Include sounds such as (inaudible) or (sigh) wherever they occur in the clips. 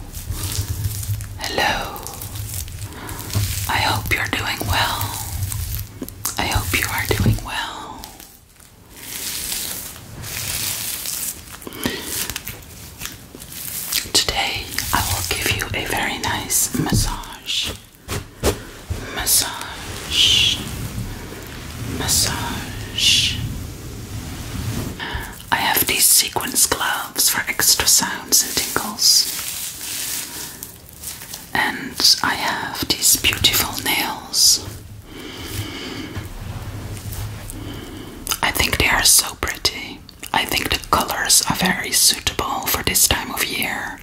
Hello. I hope you're doing well. I hope you are doing well. Today I will give you a very nice massage. Massage. Massage. I have these sequence gloves for extra sounds and tingles. And I have these beautiful nails. I think they are so pretty. I think the colors are very suitable for this time of year.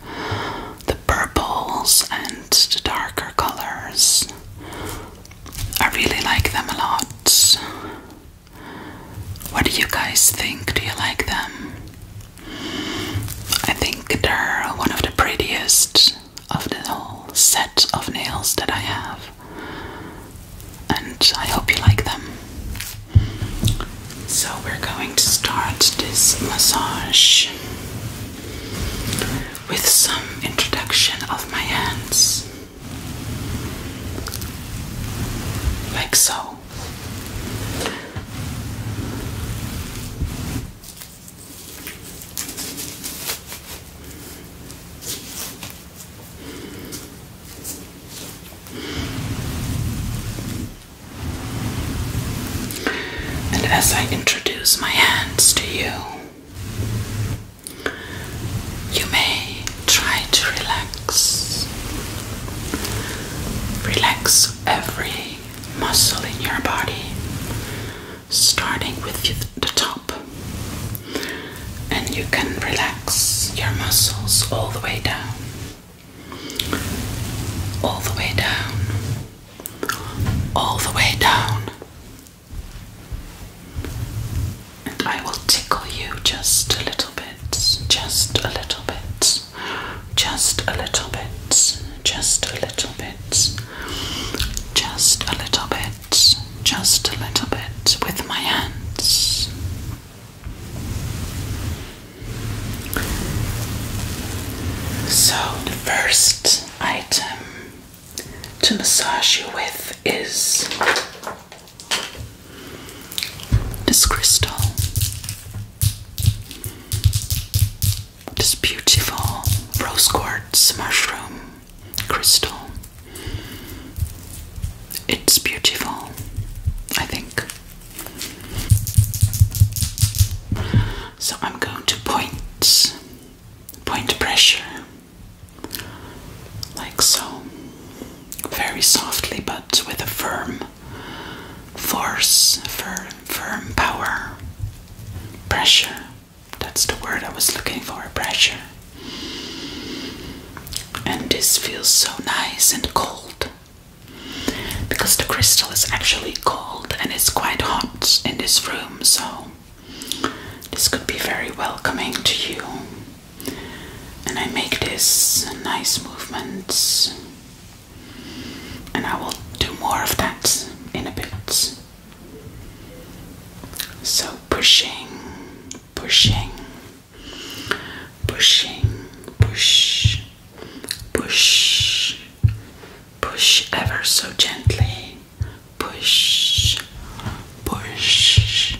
The purples and the darker colors. I really like them a lot. What do you guys think? Do you like them? I think they're one of the prettiest of the whole set of nails that I have, and I hope you like them. So, we're going to start this massage with some introduction of my hands like so. And as I introduce my hands to you, you may try to relax. Relax every muscle in your body, starting with the top. And you can relax your muscles all the way down, all the way down, all the way down, I will tickle you just a little bit, just a little bit, just a little bit, just a little bit, just a little bit, just a little bit with my hands. So, the first item to massage you with is this crystal. This beautiful rose quartz mushroom crystal. It's beautiful, I think. So I'm going to point point pressure like so, very softly but with a firm force, firm, firm power, pressure. That's the word I was looking for pressure. And this feels so nice and cold because the crystal is actually cold and it's quite hot in this room, so this could be very welcoming to you and I make this nice movement and I will do more of that in a bit. So pushing, pushing, pushing, push, push, push ever so gently, push, push,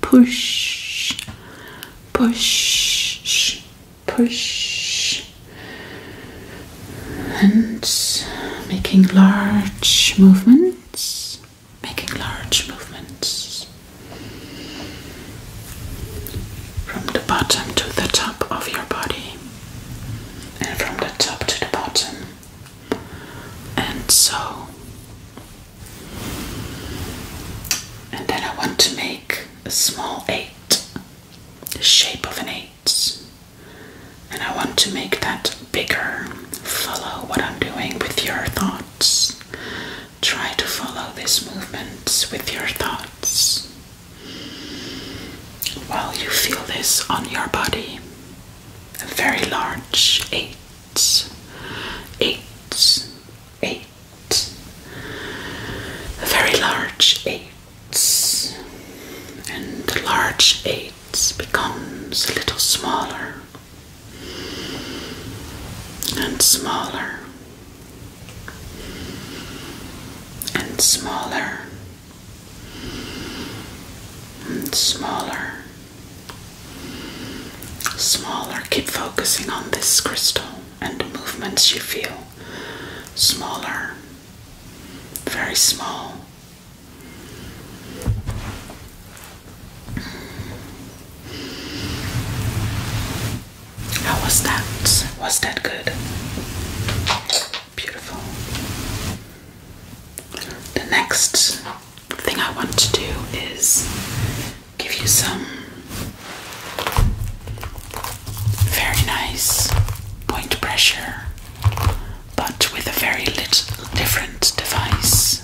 push, push, push, and making large movements, making large movements from the bottom to the top of your body, and from the top to the bottom, and so and then I want to make a small 8, the shape of an 8. And I want to make that bigger. Follow what I'm doing with your thoughts. Try to follow this movement with your thoughts while you feel this on your body. A very large 8 eight, eight, a very large eight, and the large eight becomes a little smaller and smaller and smaller and smaller Smaller, keep focusing on this crystal and the movements you feel. Smaller, very small. How was that? Was that good? Beautiful. The next thing I want to do is give you some very nice point pressure, but with a very little different device.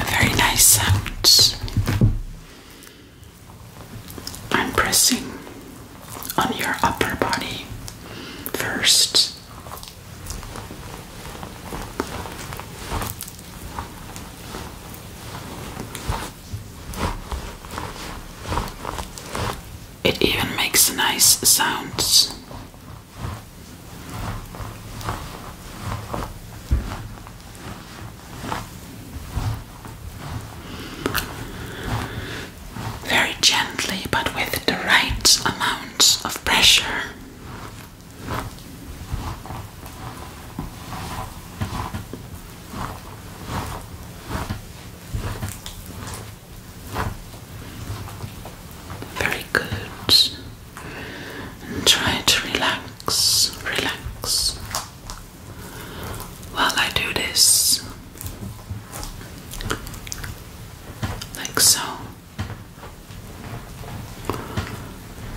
A very nice sound. I'm pressing on your upper body first. It even makes nice sounds very gently but with the right amount of pressure. Very good. try to relax, relax while I do this, like so.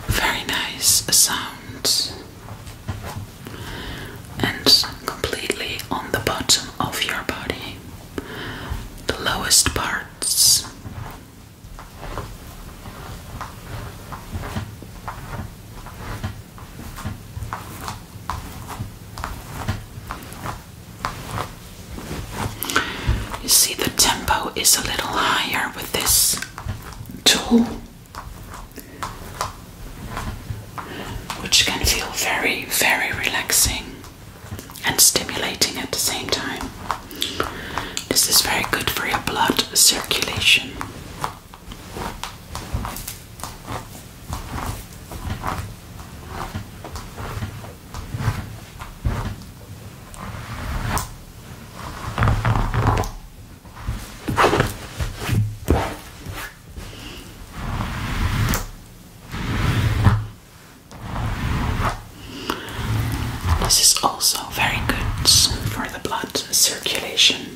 Very nice sound, and completely on the bottom of your body, the lowest parts. You see, the tempo is a little higher with this tool, which can feel very, very relaxing and stimulating at the same time. This is very good for your blood circulation. This is also very good for the blood circulation.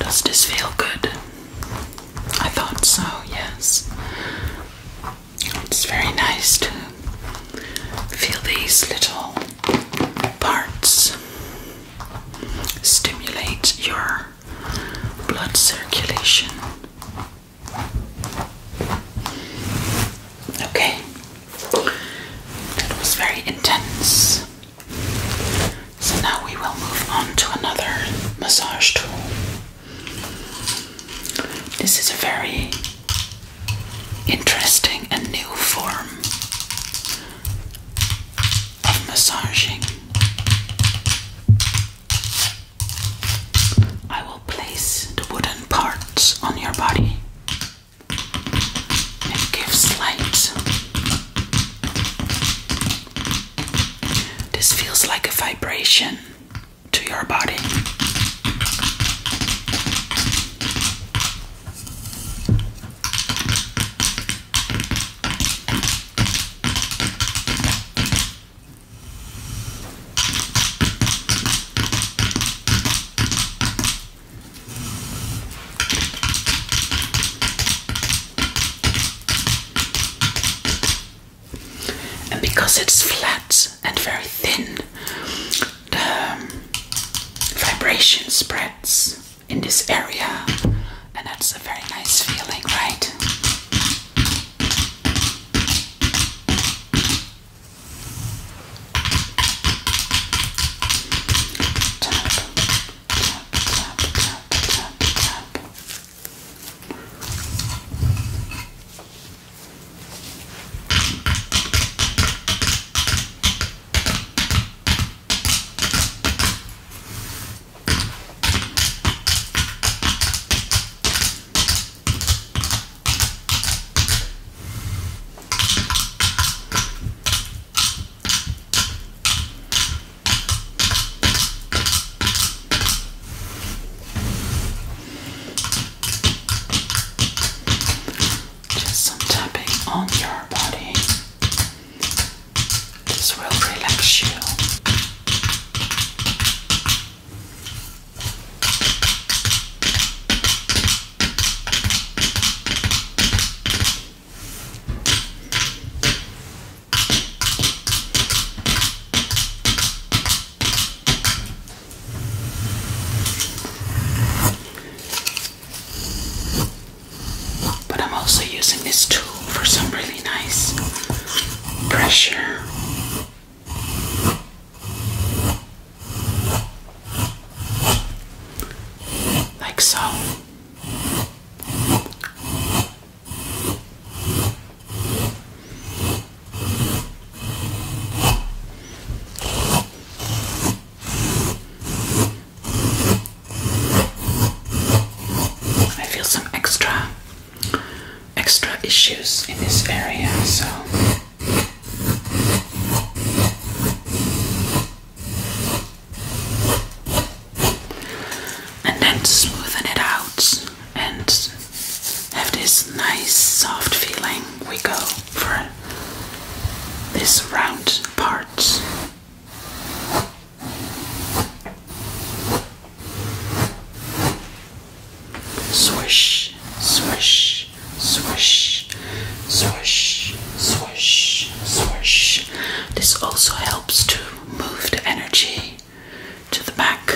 Does this feel good? I thought so, yes. It's very nice to feel these little parts stimulate your blood circulation. Okay, that was very intense. So now we will move on to another massage tool. This is a very interesting and new form of massaging. I will place the wooden parts on your body. It gives light. This feels like a vibration to your body. And because it's flat and very thin, the vibration spreads in this area, and that's a very nice feeling, right? Just some tapping on your body. This will relax you. But I'm also using this tool for some really nice pressure. Like so. I feel some extra extra issues in this area, so and then smoothen it out and have this nice soft feeling. We go for this round part. Swish, swish, swish, swish, swish, swish. This also helps to move the energy to the back.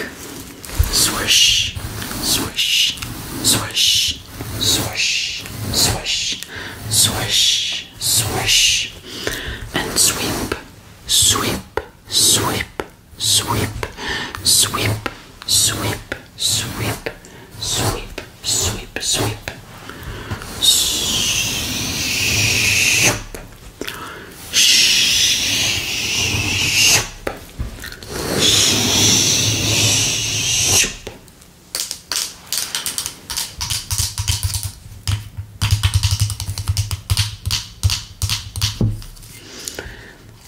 Swish, swish, swish, swish, swish, swish swish, and sweep, sweep, sweep, sweep, sweep, sweep, sweep, sweep, sweep, sweep. Shoop. Shoop. Shoop.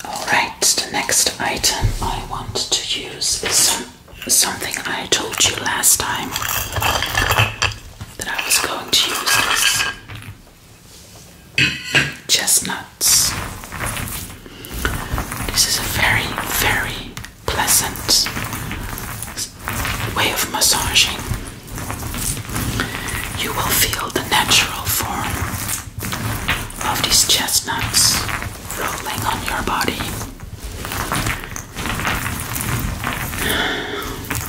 Alright, the next item I want to use is something I told you last time that I was going to use (coughs) chestnuts. This is a very, very pleasant way of massaging. You will feel the natural form of these chestnuts rolling on your body.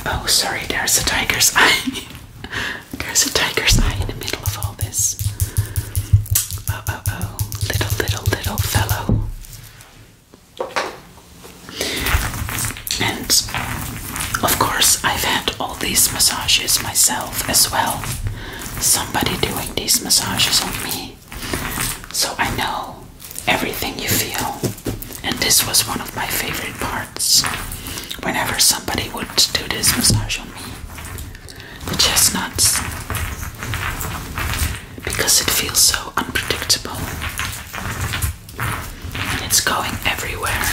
Oh, sorry, there's a tiger's eye. (laughs) there's a tiger's eye in the middle of all this. Oh, oh, oh, little, little, little fellow. And of course, I've had all these massages myself as well. Somebody doing these massages on me. So I know everything you feel. And this was one of my favorite parts. Whenever somebody would do this massage on me, the chestnuts because it feels so unpredictable and it's going everywhere.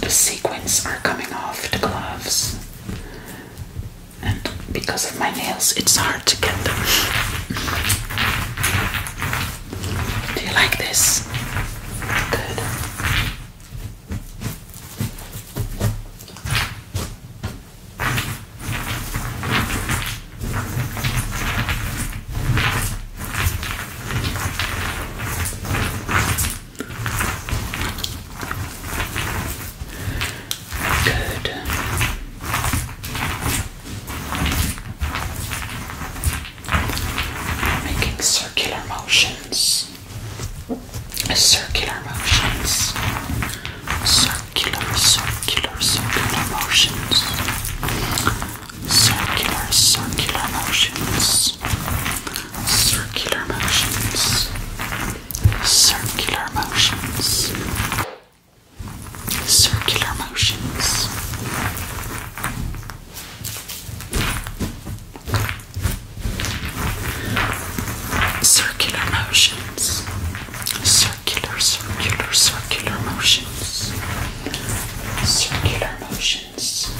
The sequins are coming off the gloves, and because of my nails, it's hard to get them. Do you like this? Good. Good. Making circular motions circular motions. Circular, circular, circular motions. Circular, circular motions. Circular motions. Circular motions. Circular motions. Circular motions. Circular, circular, circular motions. Circular motions.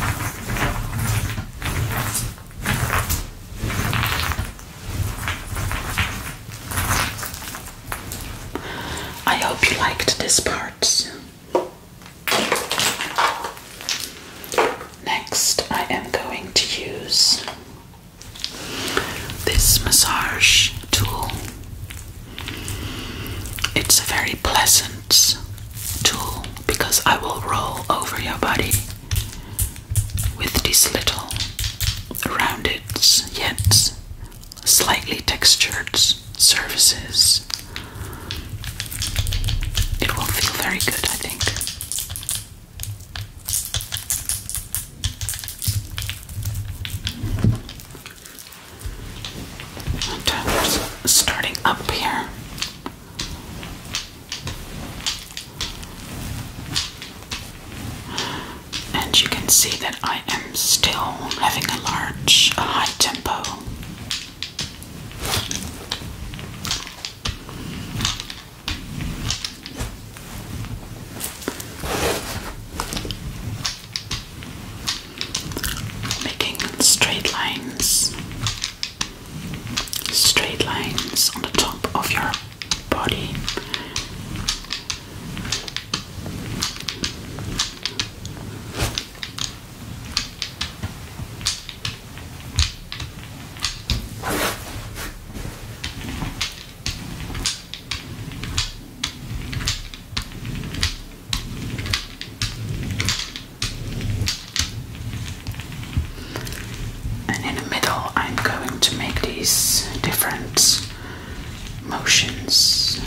I hope you liked this part. Next, I am going to use this massage tool. It's a very pleasant tool because I will roll over your body with these little rounded yet slightly textured surfaces. It will feel very good, I think starting up here. And you can see that I am still having a large, a high tempo. Making straight lines, straight lines on the top of your body. And in the middle, I'm going to make these different motions,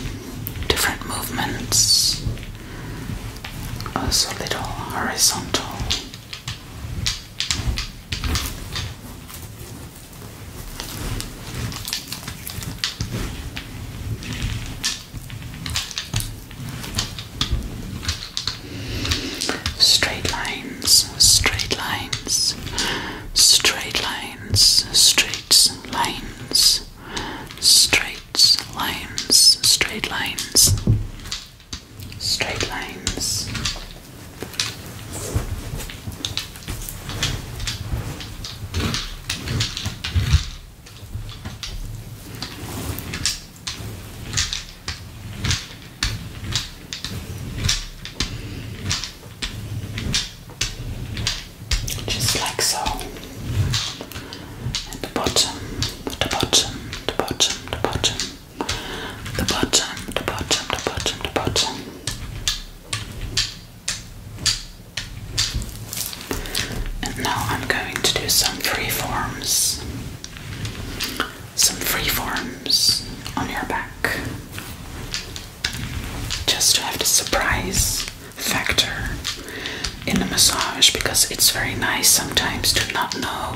different movements, also little horizontal Straight lines, straight lines, straight lines, straight lines, straight lines, straight lines straight lines. Just like so. At the bottom, the bottom, the bottom, the bottom the bottom, the bottom, the bottom, the bottom. And now I'm going to do some free forms. Some free forms on your back. Just to have the surprise factor in the massage because it's very nice sometimes to not know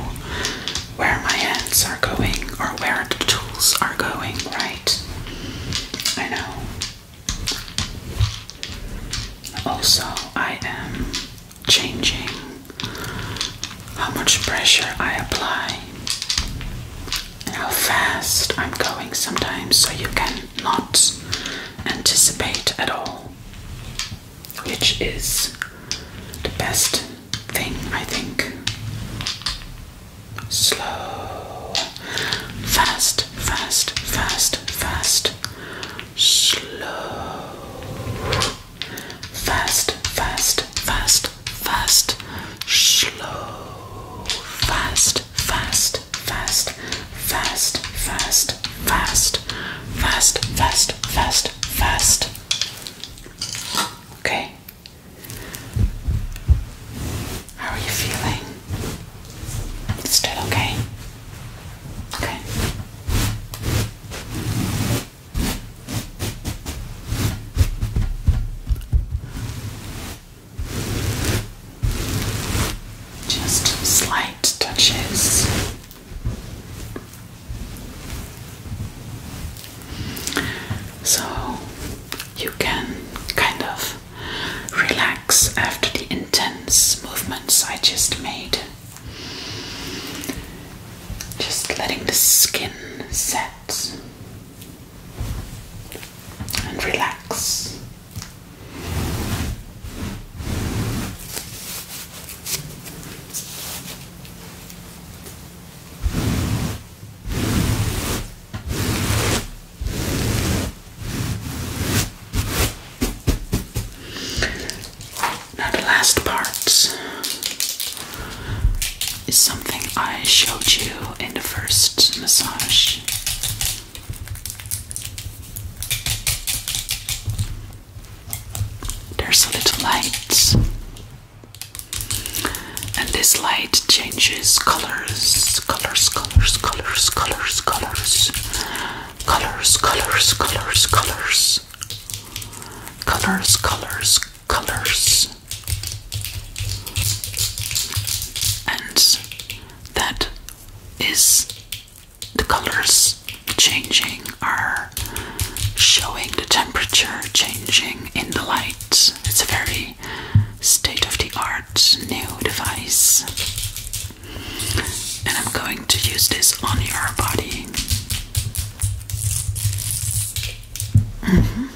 where my hands are going or where the tools are going, right? I know. Also, I am changing how much pressure I apply and how fast I'm going sometimes, so you can not anticipate at all, which is the best thing, I think. Slow, fast, fast, fast, fast, slow, fast, fast, fast, fast, slow, fast, fast, fast, fast, fast, fast, fast, fast, fast, fast. Okay. How are you feeling? Still okay? Okay. Just slight touches. So you can kind of relax after the intense movements I just made. Just letting the skin set and relax. Now, the last part is something I showed you in the first massage. There's a little light and this light changes colors, colors, colors, colors, colors, colors, colors, colors, colors, colors, colors, colors, colors. And that is the colors changing are showing the temperature changing in the light. It's a very state of the art new device. And I'm going to use this on your body. Mm-hmm.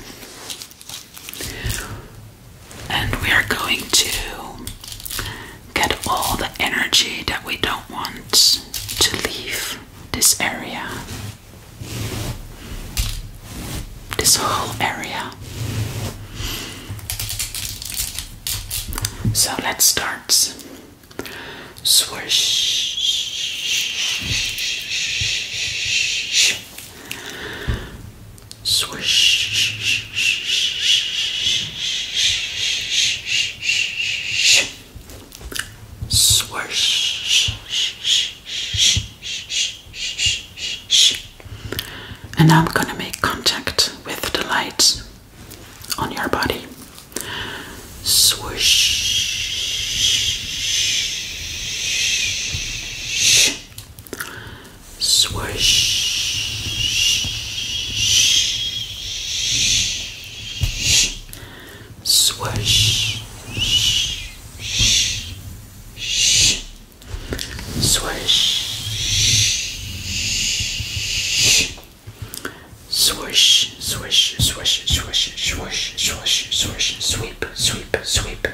And we are going to get all the energy that we don't want to leave this area this whole area. So let's start. Swish, swish. Swish. And now I'm going to make contact with the light on your body. Swish. Swish. Swish, shh, shh, shh. Swish, shh, shh. Swish, swish, swish, swish, swish, swish, swish, sweep, sweep, sweep.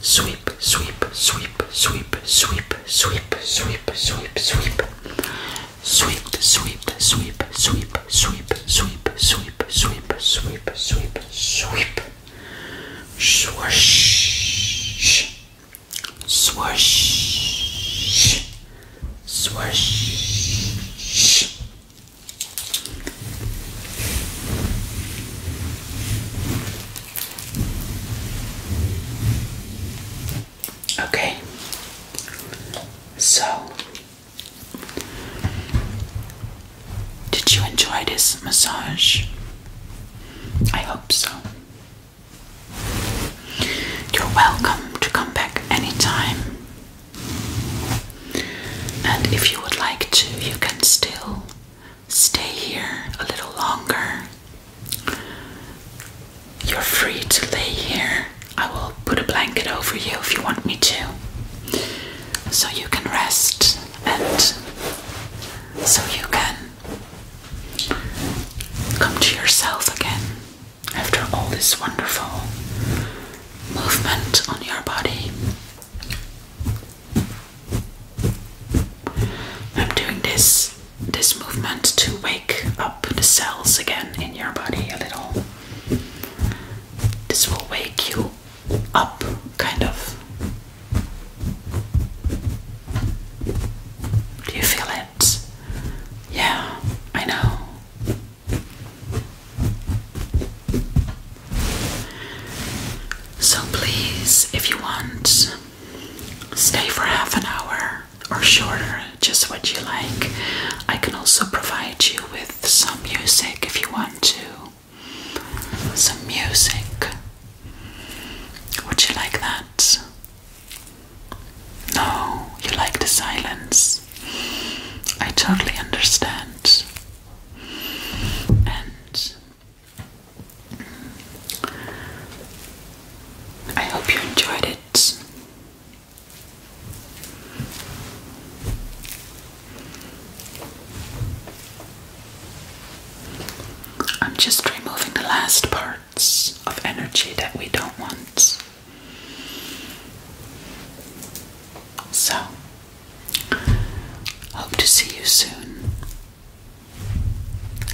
Sweep, sweep, sweep, sweep, sweep, sweep, sweep, sweep, sweep. Sweep, sweep, sweep, sweep, sweep, sweep, sweep, sweep, sweep, sweep, sweep. Swish, swish, swish. Okay, so did you enjoy this massage? I hope so. You're welcome to come back anytime. And if you would like to, you can still stay here a little longer. You're free to lay here I will put a blanket over you if you want me to, so you can rest and so you can come to yourself again after all this wonderful movement on your body. I'm doing this this movement to wake up the cells again in your body a little. This will wake you up, kind of. Do you feel it? Yeah, I know. So, please, if you want, stay for half an hour or shorter, just what you like. I can also provide you with some music if you want to. Some music. Would you like that? No, you like the silence. I totally understand. And I hope you enjoyed it. I'm just removing the last parts of energy that we don't want. So, hope to see you soon.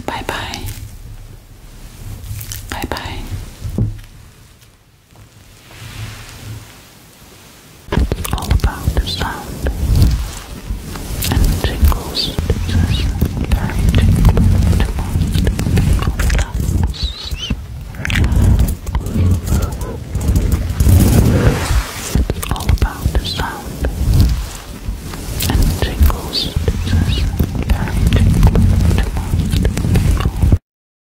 Bye bye. Bye bye all about the sound and tingles. It's very tingling most people. Relax. It's all about the sound and tingles. It's very tingling to most people.